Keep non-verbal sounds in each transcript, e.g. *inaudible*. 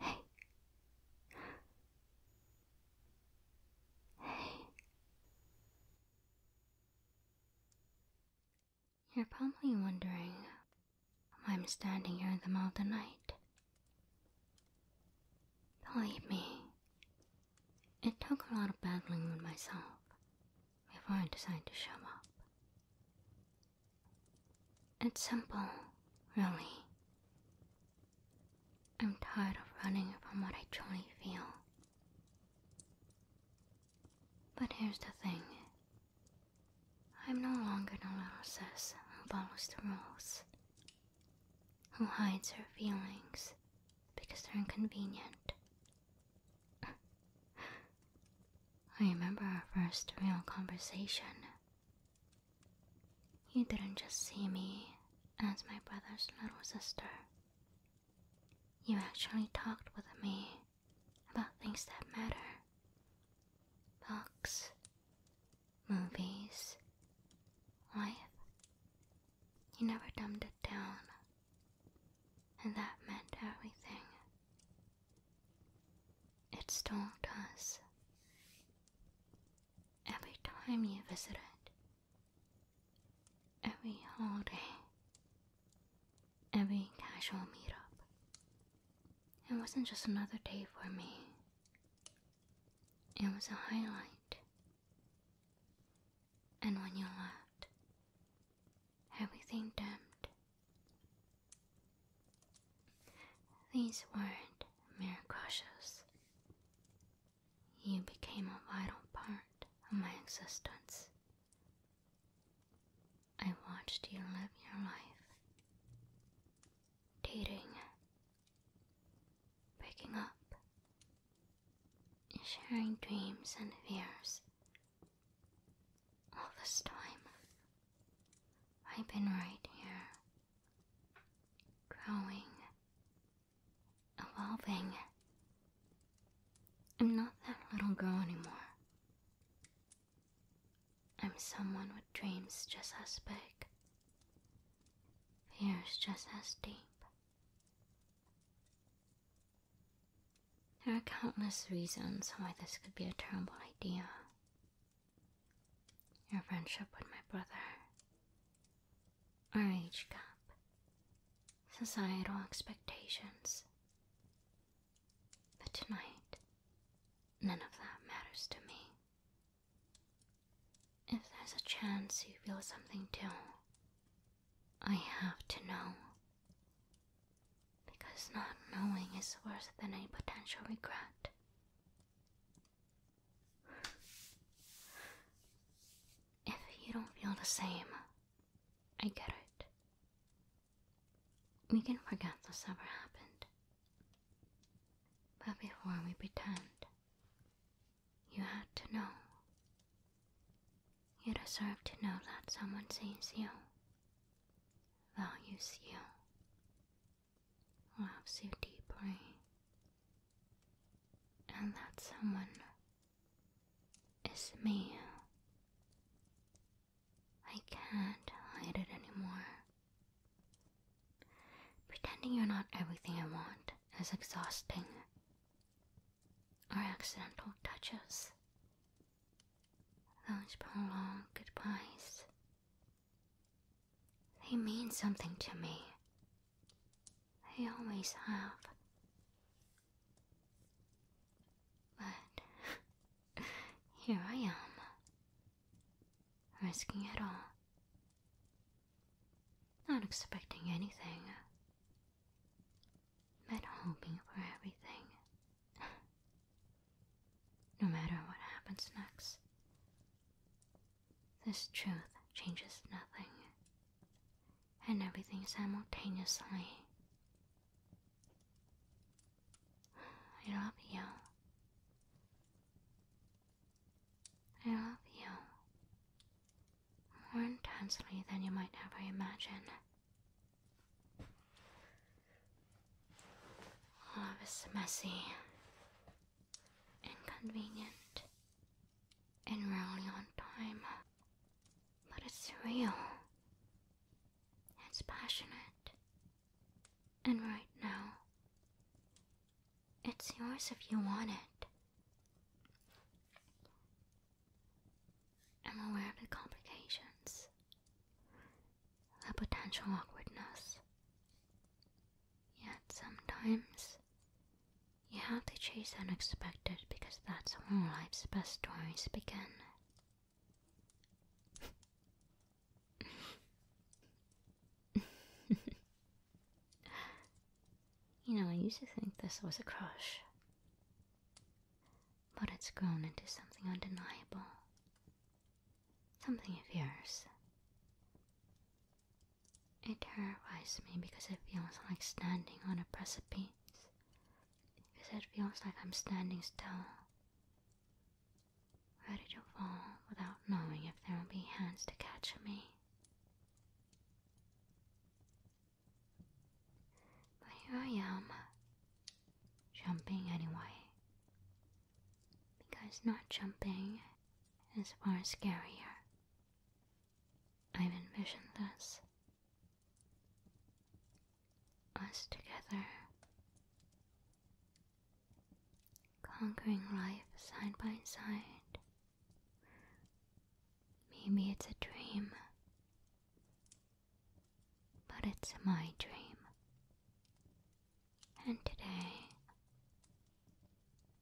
Hey. Hey. You're probably wondering why I'm standing here in the middle of the night. Believe me, it took a lot of battling with myself before I decided to show up. It's simple, really. I'm tired of running from what I truly feel. But here's the thing. I'm no longer the little sis who follows the rules who hides her feelings because they're inconvenient. I remember our first real conversation. You didn't just see me as my brother's little sister. You actually talked with me about things that matter books, movies. Life. You never dumbed it down. And that meant everything. It stoked us. Every time you visited. Every holiday. Every casual meetup. It wasn't just another day for me. It was a highlight. And when you left, everything dimmed. These weren't mere crushes. You became a vital part of my existence. I watched you live your life, dating Waking up, sharing dreams and fears. All this time, I've been right here, growing, evolving. I'm not that little girl anymore. I'm someone with dreams just as big Fear's just as deep. There are countless reasons why this could be a terrible idea. Your friendship with my brother, our age gap, societal expectations. But tonight, none of that matters to me. If there's a chance you feel something too, I have to know. Because not knowing is worse than any potential regret. If you don't feel the same, I get it. We can forget this ever happened. But before we pretend, you have to know. You deserve to know that someone sees you, values you, loves you deeply, and that someone is me. I can't hide it anymore. Pretending you're not everything I want is exhausting. Our accidental touches, those prolonged goodbyes, they mean something to me. They always have. But *laughs* here I am, risking it all, not expecting anything, but hoping for everything. no matter what happens next, this truth changes nothing and everything simultaneously. I love you. I love you more intensely than you might ever imagine. Love is messy, inconvenient, and rarely on time, but it's real, it's passionate, and right now, it's yours if you want it. I'm aware of the complications, the potential awkwardness. Yet sometimes, you have to chase unexpected because that's when life's best stories begin you know, I used to think this was a crush, but it's grown into something undeniable. Something of yours. It terrifies me because it feels like standing on a precipice. Because it feels like I'm standing still. Ready to fall without knowing if there will be hands to catch me. But here I am, jumping anyway. Because not jumping is far scarier. I've envisioned this. Us together Conquering life side by side. Maybe it's a dream, but it's my dream. And today,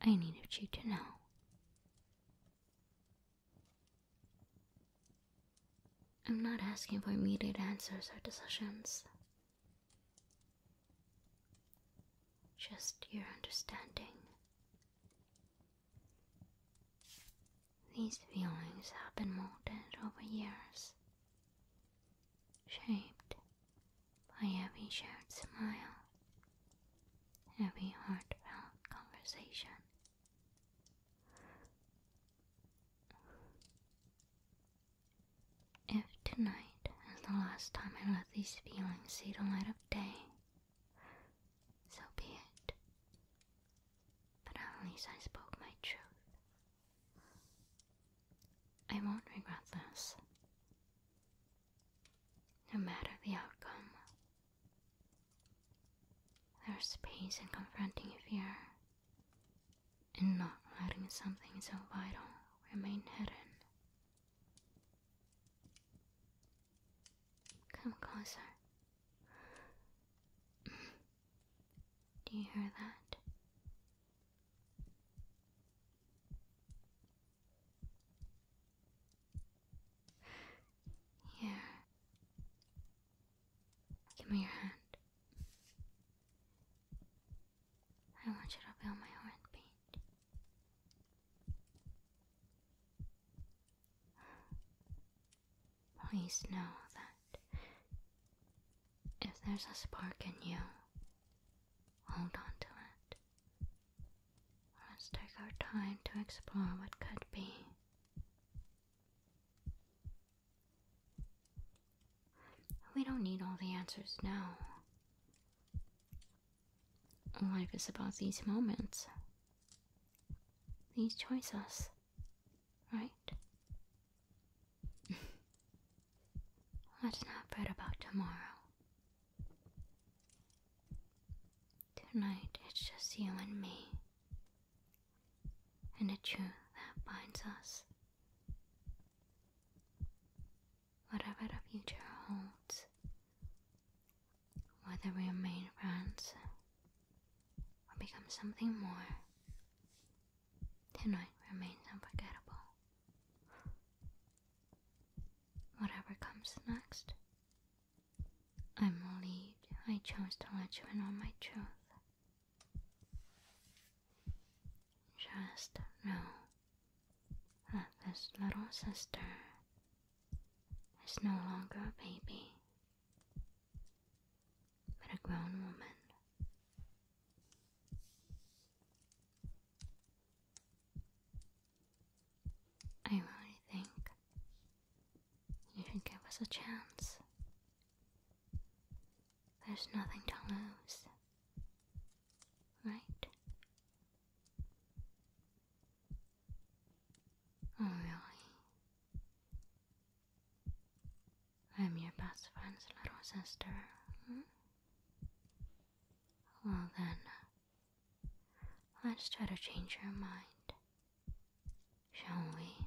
I needed you to know. I'm not asking for immediate answers or decisions. Just your understanding. These feelings have been molded over years, shaped by every shared smile, every heartfelt conversation. If tonight is the last time I let these feelings see the light of day, so be it. But at least I spoke my truth. I won't regret this. No matter the outcome, there's peace in confronting fear and not letting something so vital remain hidden. Come closer. Do you hear that? Here. Give me your hand. I want you to feel my heartbeat. Please know that if there's a spark in you, hold on to it. Let's take our time to explore what could be. We don't need all the answers now. Life is about these moments, these choices, right? *laughs* Let's not fret about tomorrow. Tonight it's just you and me and a truth that binds us. Whatever the future holds, whether we remain friends or become something more, tonight remains unforgettable. Whatever comes next, I'm relieved I chose to let you in on my truth. Just know that this little sister is no longer a baby, but a grown woman. I really think you should give us a chance there's nothing to lose. Right? Oh, really? I'm your best friend's little sister, hmm? Well, then, uh, let's try to change your mind, shall we?